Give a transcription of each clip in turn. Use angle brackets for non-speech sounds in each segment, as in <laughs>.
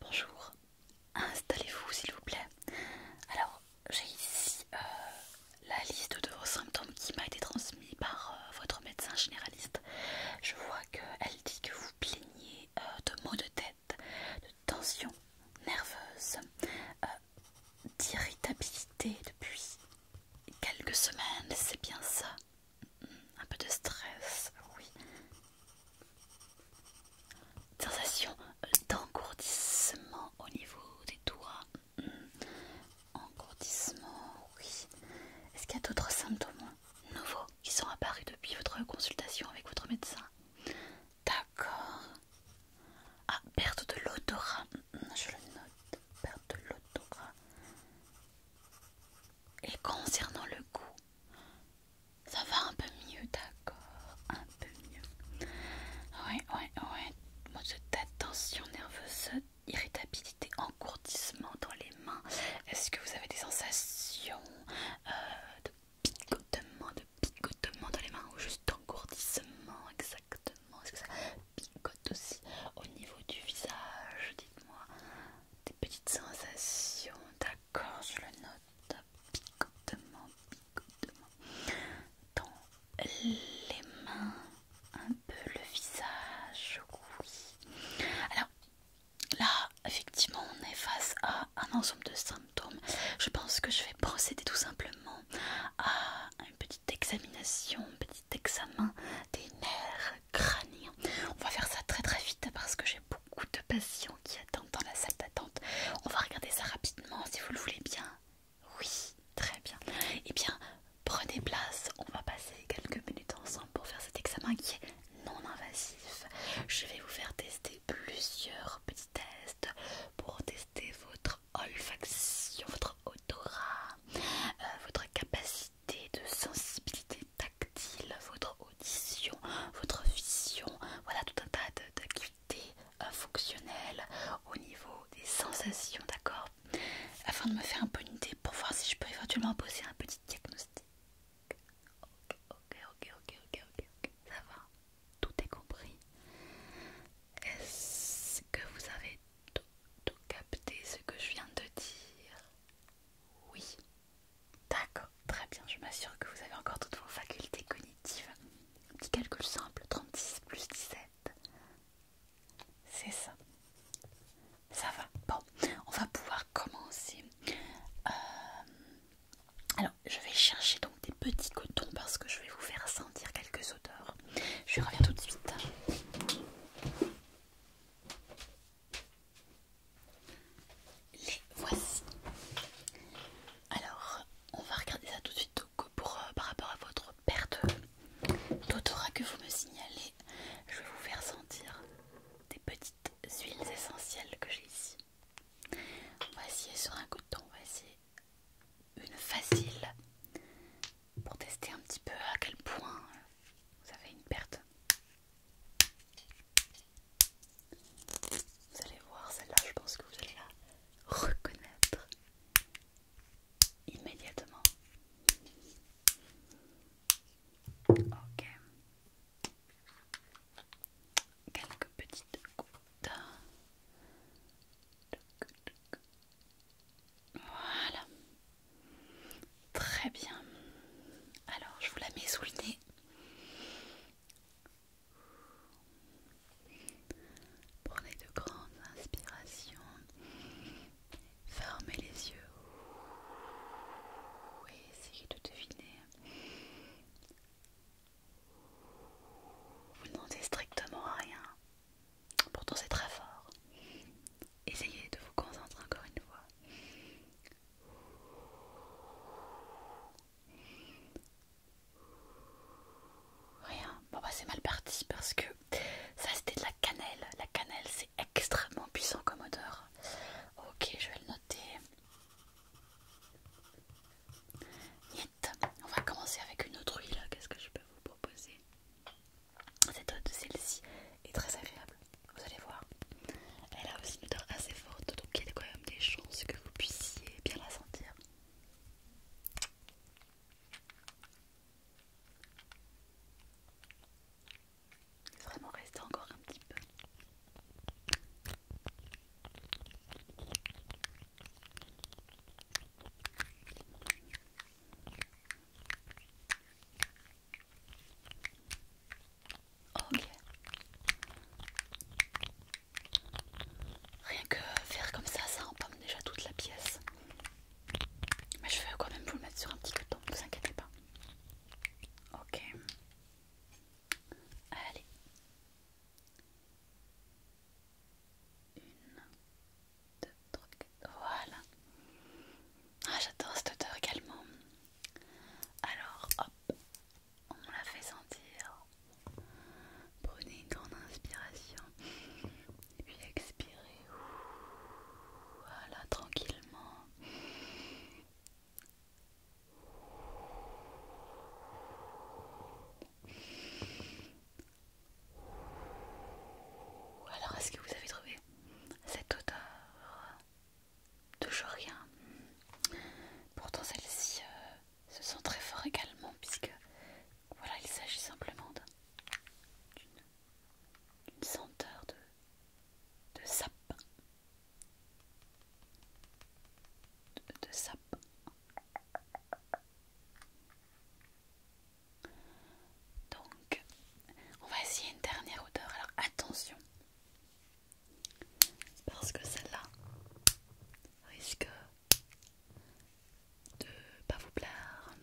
Bonjour, installez-vous s'il vous plaît. Alors, j'ai ici euh, la liste de vos symptômes qui m'a été transmise par euh, votre médecin généraliste. Je vois qu'elle dit que vous plaignez euh, de maux de tête, de tension nerveuse, d'irritabilité depuis quelques semaines, c'est bien ça. Un peu de stress, oui. Sensation d'engourdissement au niveau des doigts. Hmm. Engourdissement, oui. Est-ce qu'il y a d'autres symptômes nouveaux qui sont apparus depuis votre consultation avec votre médecin D'accord. Ah, perte de l'odorat. Hmm, je le note. Perte de l'odorat. Et concernant le goût, ça va un peu mieux, d'accord Un peu mieux. Ouais, ouais, ouais. tension nerveuse, irritabilité, engourdissement dans les mains. Est-ce que vous avez des sensations euh, de picotement, de picotement dans les mains ou juste d'engourdissement exactement Est-ce que ça picote aussi au niveau du visage Dites-moi des petites sensations, d'accord je le note. Picotement, picotement. Dans les mains, un peu le visage, Alors là, effectivement, on est face à un ensemble de symptômes. Je pense que je vais procéder tout simplement à une petite examination, un petit examen des nerfs crâniens. On va faire ça très très vite parce que j'ai de patients qui attendent dans la salle d'attente. On va regarder ça rapidement si vous le voulez bien. Oui, très bien. Eh bien, prenez place. On va passer quelques minutes ensemble pour faire cet examen qui est non invasif. Je vais vous faire tester plusieurs petits tests pour tester votre olfaction, votre odorat, euh, votre capacité de sensibilité tactile, votre audition, votre vision, voilà tout un tas d'activités euh, fonctionnelles au niveau des sensations, d'accord Afin de me faire un peu une idée pour voir si je peux éventuellement poser un petit diagnostic. Ok, ok, ok, ok, ok, ok, ça va, tout est compris. Est-ce que vous avez tout capté ce que je viens de dire oui, D'accord, très bien, je m'assure que vous avez encore toutes vos facultés cognitives. Petit calcul simple, 36 plus 17. C'est ça. Ça va. Bon, on va pouvoir commencer. Euh, alors, je vais chercher donc des petits cotons parce que je vais vous faire sentir quelques odeurs. Je reviens tout de suite. Les voici. Alors, on va regarder ça tout de suite pour, euh, par rapport à votre perte d'odorat que vous me signalez. Je vais vous faire sentir des petites huiles essentielles que j'ai ici. Voici sur un coton, on va essayer une facile pour tester un petit peu à quel point vous avez une perte. Vous allez voir, celle-là, je pense que vous allez la reconnaître immédiatement. Ok. Quelques petites gouttes. Voilà. Très bien. Alors, je vous la mets sous le nez. Prenez de grandes inspirations. Fermez les yeux. Oui, essayez de deviner. Vous ne strictement rien. Pourtant, c'est très fort. Essayez de vous concentrer encore une fois. Rien. Bon bah c'est mal parti parce que ça c'était de la cannelle. La cannelle c'est extrêmement puissant comme odeur. Ok, je vais le noter. Niet. On va commencer avec une autre huile. Qu'est-ce que je peux vous proposer Cette celle-ci est très agréable vous allez voir. Elle a aussi une odeur assez forte, donc il y a quand même des chances que vous puissiez bien la sentir. Vraiment rester encore un petit peu. Ok. Rien que faire comme ça, ça empomme déjà toute la pièce. Mais je vais quand même vous le mettre sur un petit coton ne vous inquiétez pas. Ok. Allez. Une, deux, trois, quatre. Voilà. Ah, j'adore cette odeur également. Alors hop, on la fait sentir. Prenez une grande inspiration. Et puis expirez. Voilà, tranquillement. Alors, est-ce que vous avez trouvé cette odeur Toujours rien. Pourtant celle-ci euh, se sent très fort également puisque voilà il s'agit simplement d'une senteur de, de de Donc on va essayer une dernière odeur. Alors attention, parce que celle-là risque de pas vous plaire.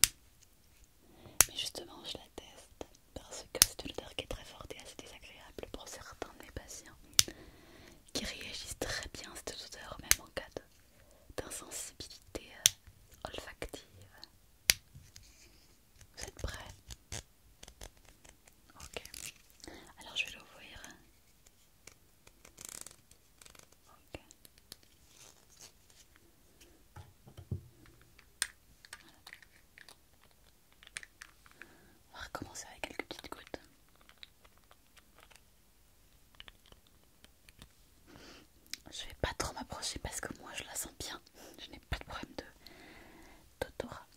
Mais justement, je la teste parce que c'est une odeur qui est très forte et assez désagréable pour certains de mes patients qui réagissent très bien à cette odeur, même en cas d'insensibilité olfactive. Vous êtes prêts Ok. Alors je vais l'ouvrir. Ok. On va recommencer avec quelques petites gouttes. Je vais pas trop m'approcher parce que moi je la sens bien je n'ai pas de problème d'odorat.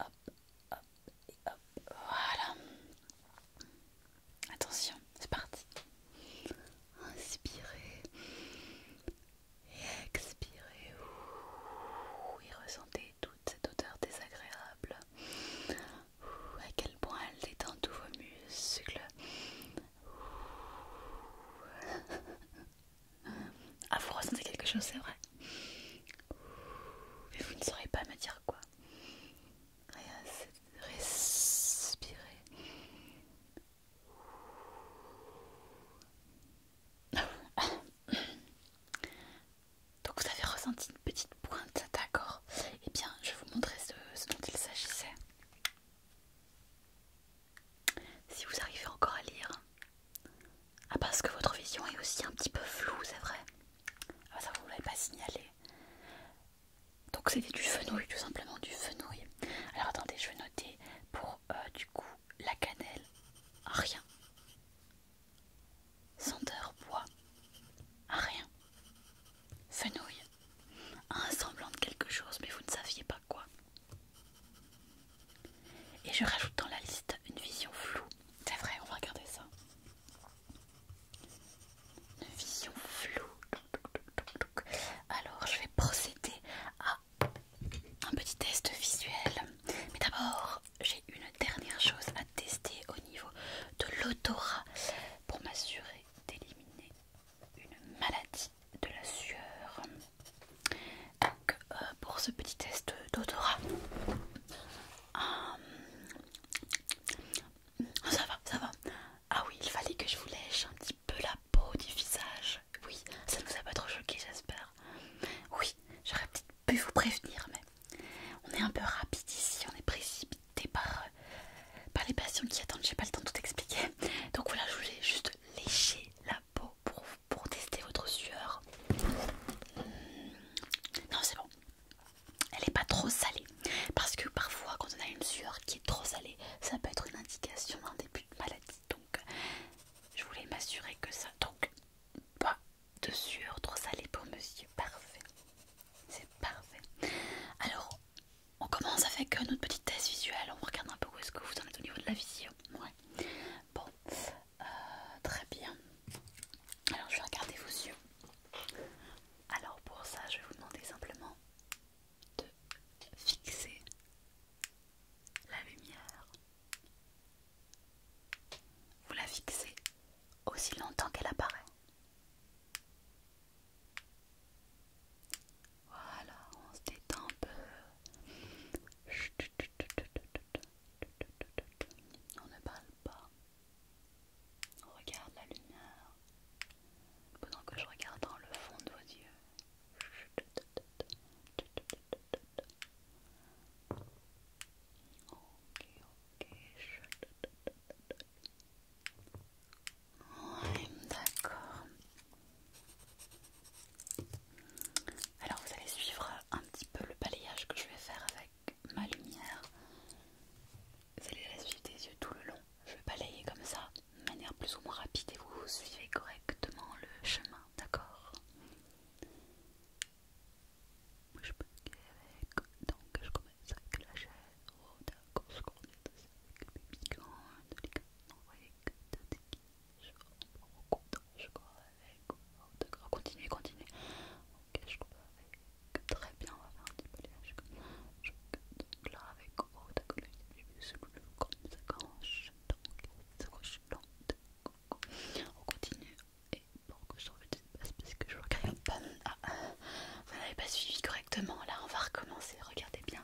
hop, hop, hop, voilà. Attention, c'est parti. Inspirez et expirez. ressentez toute cette odeur désagréable. Ouh, à quel point elle détend tous vos muscles. <laughs> Ah, vous ressentez quelque chose, c'est vrai. Mais vous ne saurez pas me dire quoi. respirer <coughs> Donc vous avez ressenti une petite pointe, d'accord Eh bien, je vais vous montrer ce dont il s'agissait. Si vous arrivez encore à lire, ah parce que votre vision est aussi un petit peu floue, c'est vrai. Ah ça vous l'avez pas signalé. Donc c'était du fenouil, tout simplement du fenouil. Alors attendez, je vais noter pour euh, du coup la cannelle, rien. Senteur bois, rien. Fenouil, un semblant de quelque chose, mais vous ne saviez pas quoi. Et je rajoute dans la liste une vision floue. C'est vrai, on va regarder ça. Une vision floue. Alors, je vais procéder à un petit test visuel. Mais d'abord, j'ai une dernière chose à tester au niveau de l'odorat pour m'assurer d'éliminer une maladie de la sueur. Donc euh, pour ce petit test d'odorat, euh, ça va, ça va. Ah oui, il fallait que je vous lèche un petit peu la peau du visage. Oui, ça ne vous a pas trop choqué, j'espère. Oui, j'aurais peut-être pu vous prévenir, mais on est un peu rapide ici, on est précipité par, euh, par les patients qui attendent. J'ai pas le temps de tout expliquer. Donc voilà, je voulais juste lécher la peau pour, tester votre sueur. Hmm. Non, c'est bon. Elle n'est pas trop salée. Parce que parfois, quand on a une sueur qui est trop salée, ça peut être une indication d'un début de maladie. Donc, je voulais m'assurer que ça. Donc, pas de sueur trop salée pour monsieur. Parfait. C'est parfait. Alors, on commence avec euh, notre petite thèse visuelle, on regarde un peu où est-ce que vous en êtes au niveau de la vision. Bon, euh, très bien. Alors je vais regarder vos yeux. Alors pour ça, je vais vous demander simplement de fixer la lumière. Vous la fixez aussi longtemps qu'elle apparaît. Voilà, on se détend un peu. On ne parle pas. On regarde la lumière. Pendant que je regarde dans le fond de vos yeux. Ouais, d'accord. Alors vous allez suivre un petit peu le balayage que je vais faire avec ma lumière. Vous allez la suivre des yeux tout le long. Je vais balayer comme ça, de manière plus ou moins rapide, et vous suivez correctement le chemin, d'accord je avec, donc je commence avec la chaise. oh, d'accord, je avec le bébé, de on continue, on continue ok je crois avec très bien on va faire un petit balayage Je ça je donc là avec oh d'accord là ça vu ce bleu comme ça coche donc ça coche on continue et pour que je trouve une espace parce que je regarde pas ah, vous n'avez pas suivi correctement là on va recommencer regardez bien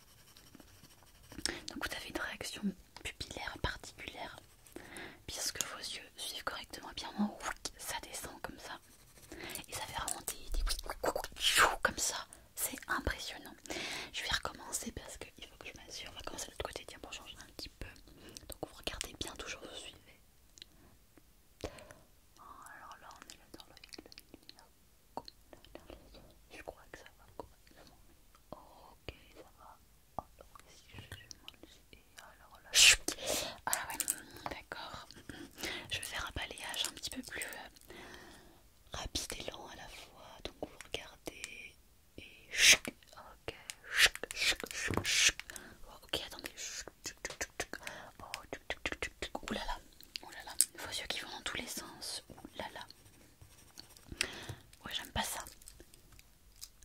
Donc vous avez une réaction pupillaire particulière puisque vos yeux suivent correctement bien moment ça descend comme ça et ça fait remonter des comme ça c'est impressionnant je vais recommencer parce qu'il faut que je m'assure on va commencer de l'autre côté tiens pour changer un petit peu donc vous regardez bien toujours vous suivez oh, alors là on est dans le je crois que ça va correctement. Ok, ça va. Alors, je Et alors là. Ah ouais, d'accord. Je vais faire un balayage un petit peu plus euh, rapide et lent à la fois. Donc, vous regardez. Et. Ok. Ok, attendez. Oh, là vos oh yeux qui vont dans tous les sens, Oulala. là là, Ouais, j'aime pas ça.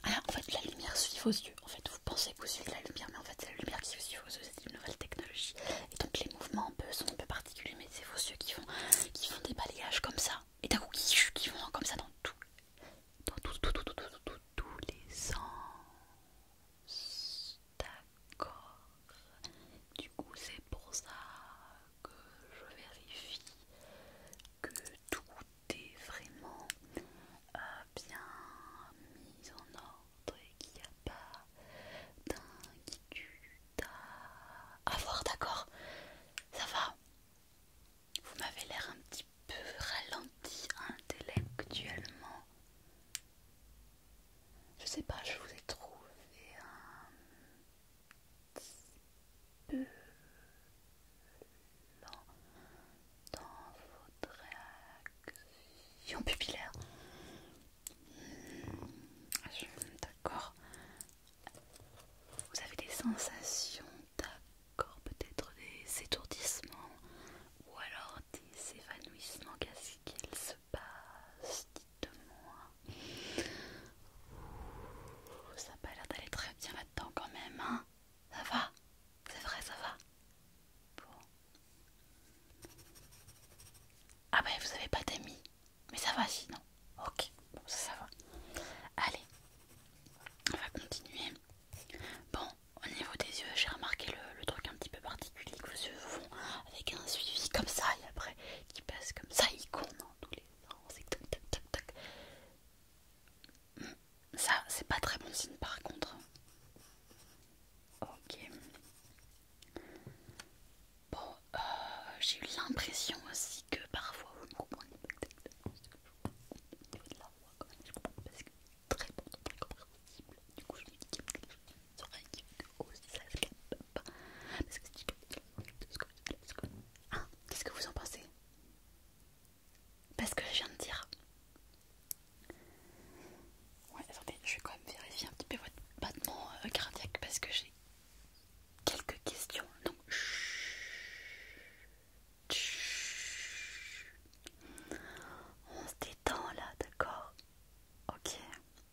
Alors, ah, en fait, la lumière suit vos yeux. En fait, vous pensez que vous suivez la lumière, mais en fait, c'est la lumière qui suit vos yeux. C'est une nouvelle technologie. Et donc, les mouvements sont un peu particuliers, mais c'est vos yeux qui font, qui font des balayages comme ça. Et d'un coup, qui, qui vont comme ça dans tout. Dans tous tout, les sens. D'accord. Du coup, c'est pour ça que je vérifie que tout est vraiment euh, bien mis en ordre et qu'il n'y a pas d'inquiétude à avoir, d'accord Ça va Vous m'avez l'air un petit peu ralenti intellectuellement. Je sais pas, je vous ai trouvé un dans votre réactions pupillaire. Hmm, d'accord. Vous avez des sensations, d'accord, peut-être des étourdissements ou alors des évanouissements. Qu'est-ce qu'il se passe Dites-moi ça n'a pas l'air d'aller très bien là-dedans quand même, hein Ça va C'est vrai, ça va Ah bah vous avez pas d'amis Mais ça va sinon. Ok, ça, va. Allez, on va continuer. Bon, au niveau des yeux, j'ai remarqué le, truc un petit peu particulier que vos yeux font avec un suivi comme ça et après qui passe comme ça, ils dans tous les non, c'est tac tac tac tac. Hmm, ça, c'est pas très bon signe par contre. Ok. Bon, euh, j'ai eu l'impression aussi que parfois vous ne comprenez pas exactement ce que je vous de la voix quand même, je comprends parce que très bon, très compréhensible. Du coup, je me dis qu'il y a des oreilles aussi ça se capte. Qu'est-ce que vous en pensez Parce que je viens de dire. Ouais, attendez, je vais quand même vérifier un petit peu votre battement euh, cardiaque parce que j'ai quelques questions. Donc, on se détend là, d'accord Ok.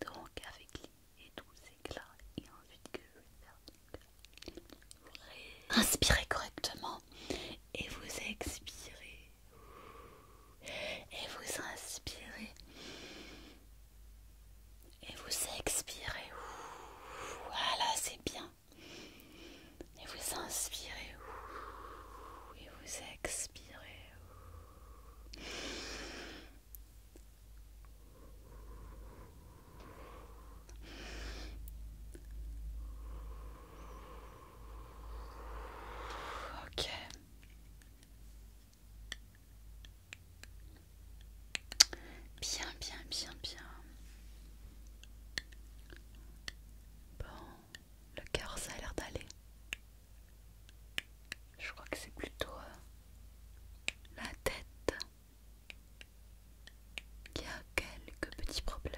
donc avec l'idée et tous ces éclats et ensuite que je vais faire vous inspirez correctement et vous expirez et vous inspirez et vous expirez voilà c'est bien et vous inspirez et vous expirez Ok. Bien, bien, bien, bien. Bon, le cœur, ça a l'air d'aller. Je crois que c'est plutôt euh, la tête qui a quelques petits problèmes.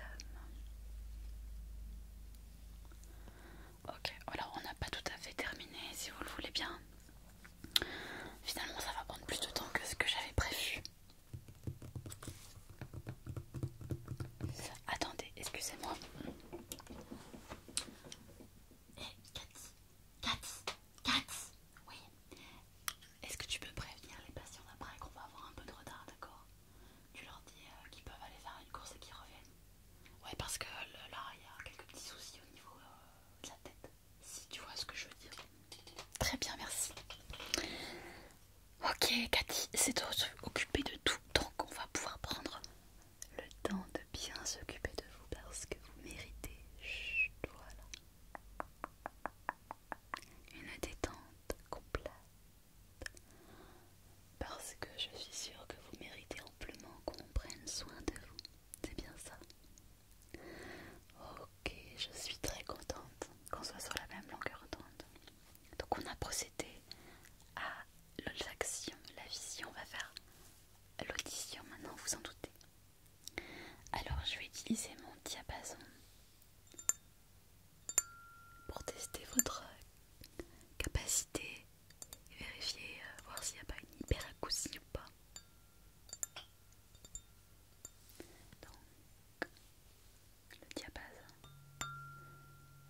Ok, alors on n'a pas tout à fait terminé si vous le voulez bien. Finalement ça va prendre plus de temps que ce que j'avais prévu. Attendez, excusez-moi. Eh, Cathy, Cathy, Cathy, oui. Est-ce que tu peux prévenir les patients d'après qu'on va avoir un peu de retard, d'accord Tu leur dis euh, qu'ils peuvent aller faire une course et qu'ils reviennent. Ouais, parce que là, il y a quelques petits soucis au niveau euh, de la tête. Si tu vois ce que je veux dire. Très bien, merci. Ok, Cathy, c'est toi occupé de tout, donc on va pouvoir prendre le temps de bien s'occuper de vous parce que vous méritez. Chut, voilà. Une détente complète. Parce que je suis sûre que vous méritez amplement qu'on prenne soin de vous. C'est bien ça. Ok, je suis très contente qu'on soit sur la même longueur d'onde. Donc on a procédé à l'olfaction, la vision, on va faire l'audition maintenant, vous en doutez. Alors je vais utiliser mon diapason pour tester votre capacité et vérifier, euh, voir s'il n'y a pas une hyperacousie ou pas. Donc, le diapason,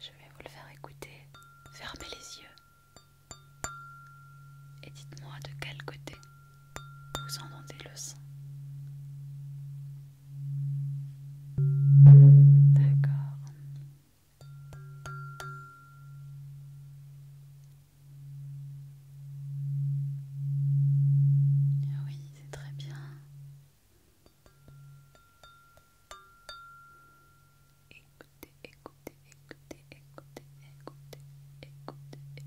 je vais vous le faire écouter. Fermez les yeux. Et dites-moi de quel côté vous entendez le son. D'accord. Oui, c'est très bien. Écoutez, écoutez, écoutez, écoutez, écoutez, écoutez,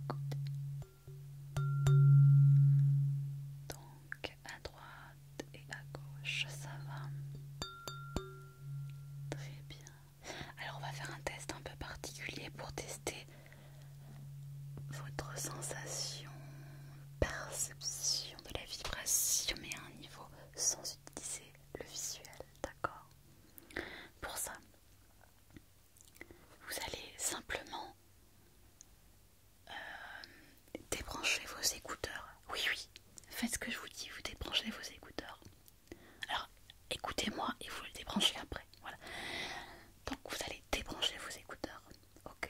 Donc à droite et à gauche, ça va. Très bien. Alors on va faire un test un peu particulier pour tester votre sensation, perception de la vibration, mais à un niveau sans utiliser le visuel, d'accord Pour ça, vous allez simplement euh, débrancher vos écouteurs. Oui, oui, faites ce que je vous dis, vous débranchez vos écouteurs. Alors, écoutez-moi et vous le débranchez après. Voilà. Donc, vous allez débrancher vos écouteurs, ok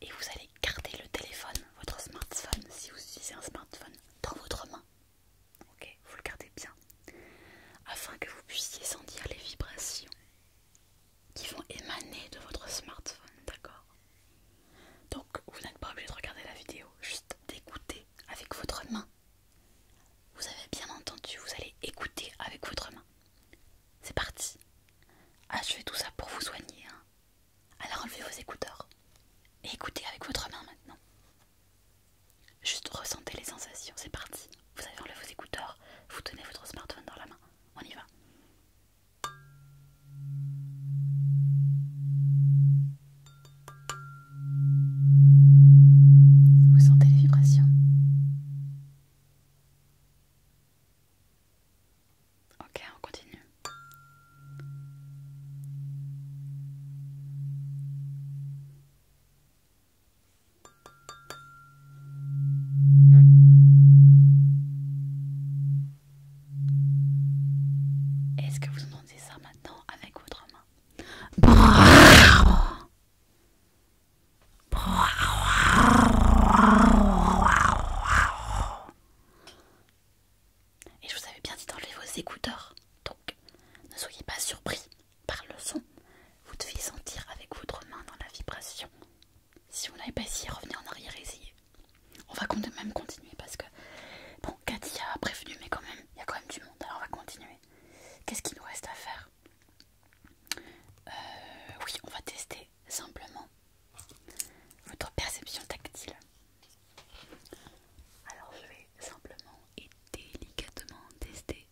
Et vous allez garder le téléphone, votre smartphone, si vous utilisez un smartphone, dans votre main. Ok, vous le gardez bien, afin que vous puissiez sentir les vibrations qui vont émaner de votre smartphone, d'accord Donc vous n'êtes pas obligé de regarder la vidéo, juste d'écouter avec votre main. Vous avez bien entendu, vous allez écouter avec votre main. C'est parti. Ah, je fais tout ça pour vous soigner. Hein. Alors enlevez vos écouteurs et écoutez avec votre main maintenant. Juste ressentez les sensations, c'est parti. Vous avez enlevé vos écouteurs, vous tenez votre smartphone dans la main. On y va. Vous sentez les vibrations Ok, on continue. Est-ce que vous entendez ça maintenant avec votre main et je vous avais bien dit d'enlever vos écouteurs, donc ne soyez pas surpris par le son. Vous devez sentir avec votre main dans la vibration. Si vous n'avez pas essayé, revenez en arrière et essayez. On va quand même continuer parce que, bon, Cathy a prévenu, mais quand même, il y a quand même du monde, alors on va continuer. Qu'est-ce qu'il nous reste à faire euh, Oui, on va tester simplement votre perception tactile. Alors je vais simplement et délicatement tester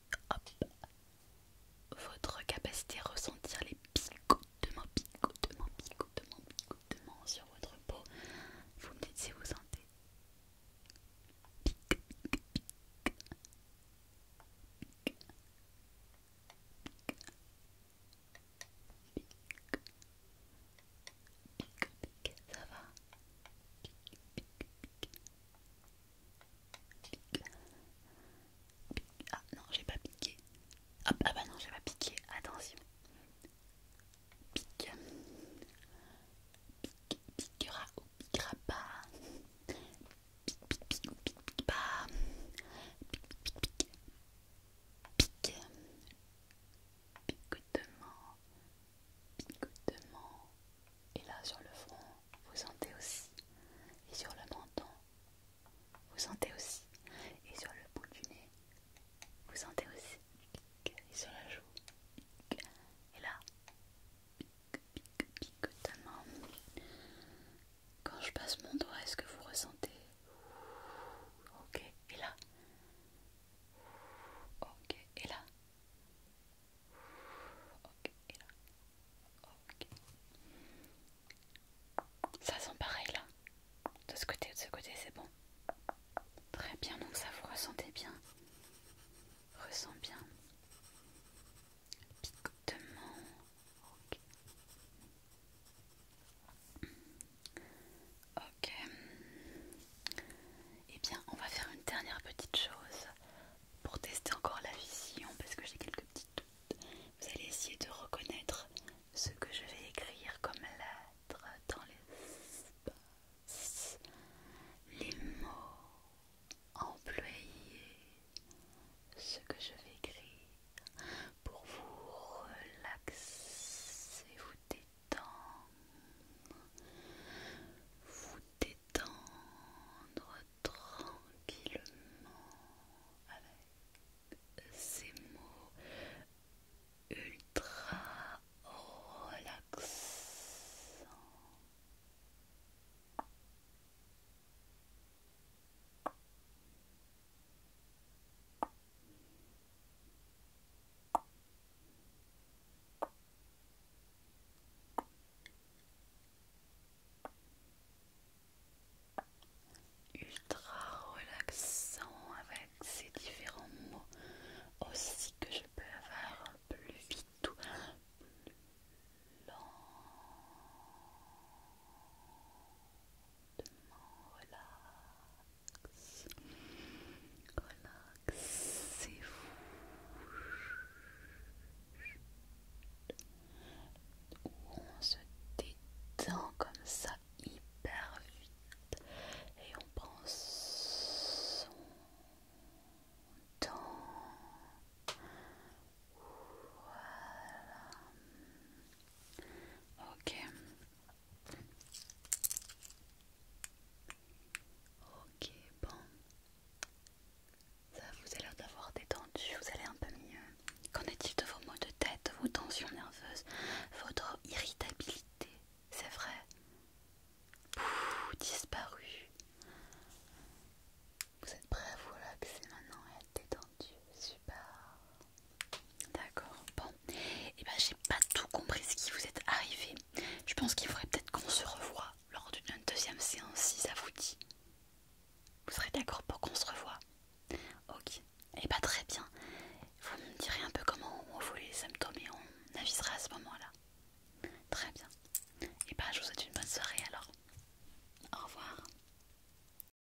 votre capacité à ressentir les picotements, picotements, picotements, picotements sur votre peau. Vous me dites si vous sentez ça va Ah non, j'ai pas piqué. Ah, bah non, j'ai pas piqué. Attention. pique pique piquera ou piquera pas. pique pique pique pique picotement, picotement, et là sur le front, vous sentez aussi, et sur le menton, vous sentez aussi, et sur le bout du nez, vous sentez aussi, et sur la joue, et là, picotement. Quand je passe mon doigt, est-ce que vous ressentez Ok, et là Ok, et là Ok, et là Ok. Ça sent pareil là. De ce côté ou de ce côté, c'est bon. Très bien, donc ça vous ressentez bien. Ressent bien. Picotement. Ok. Ok. Et eh bien, on va faire une dernière petite chose pour tester encore la vision parce que j'ai quelques petits doutes. Vous allez essayer de reconnaître ce que je vais écrire comme lettres dans l'espace. Les mots employés, ce que je vais écrire pour vous relaxer, vous détendre, vous détendre tranquillement avec ces mots ultra relaxants. Ultra relaxant avec ces différents mots aussi que je peux avoir plus vite ou plus lent relax, relaxez-vous on se détend comme ça hyper vite et on prend son temps voilà Ok. Ok, bon. Ça vous a l'air d'avoir détendu, vous allez un peu mieux. Qu'en est-il de vos maux de tête, vos tensions nerveuses, votre irritabilité C'est vrai Pouf, disparu. Vous êtes prêt à vous relaxer maintenant et à être super. D'accord, bon. Et eh ben j'ai pas tout compris ce qui vous est arrivé. Je pense qu'il faudrait peut-être qu'on se revoie lors d'une deuxième séance si ça vous dit. Vous serez d'accord pour qu'on se revoie Ok, et eh bah ben, très bien. Vous me direz un peu comment on voulait les symptômes et on avisera à ce moment-là. Très bien. Et eh bah ben, je vous souhaite une bonne soirée alors. Au revoir.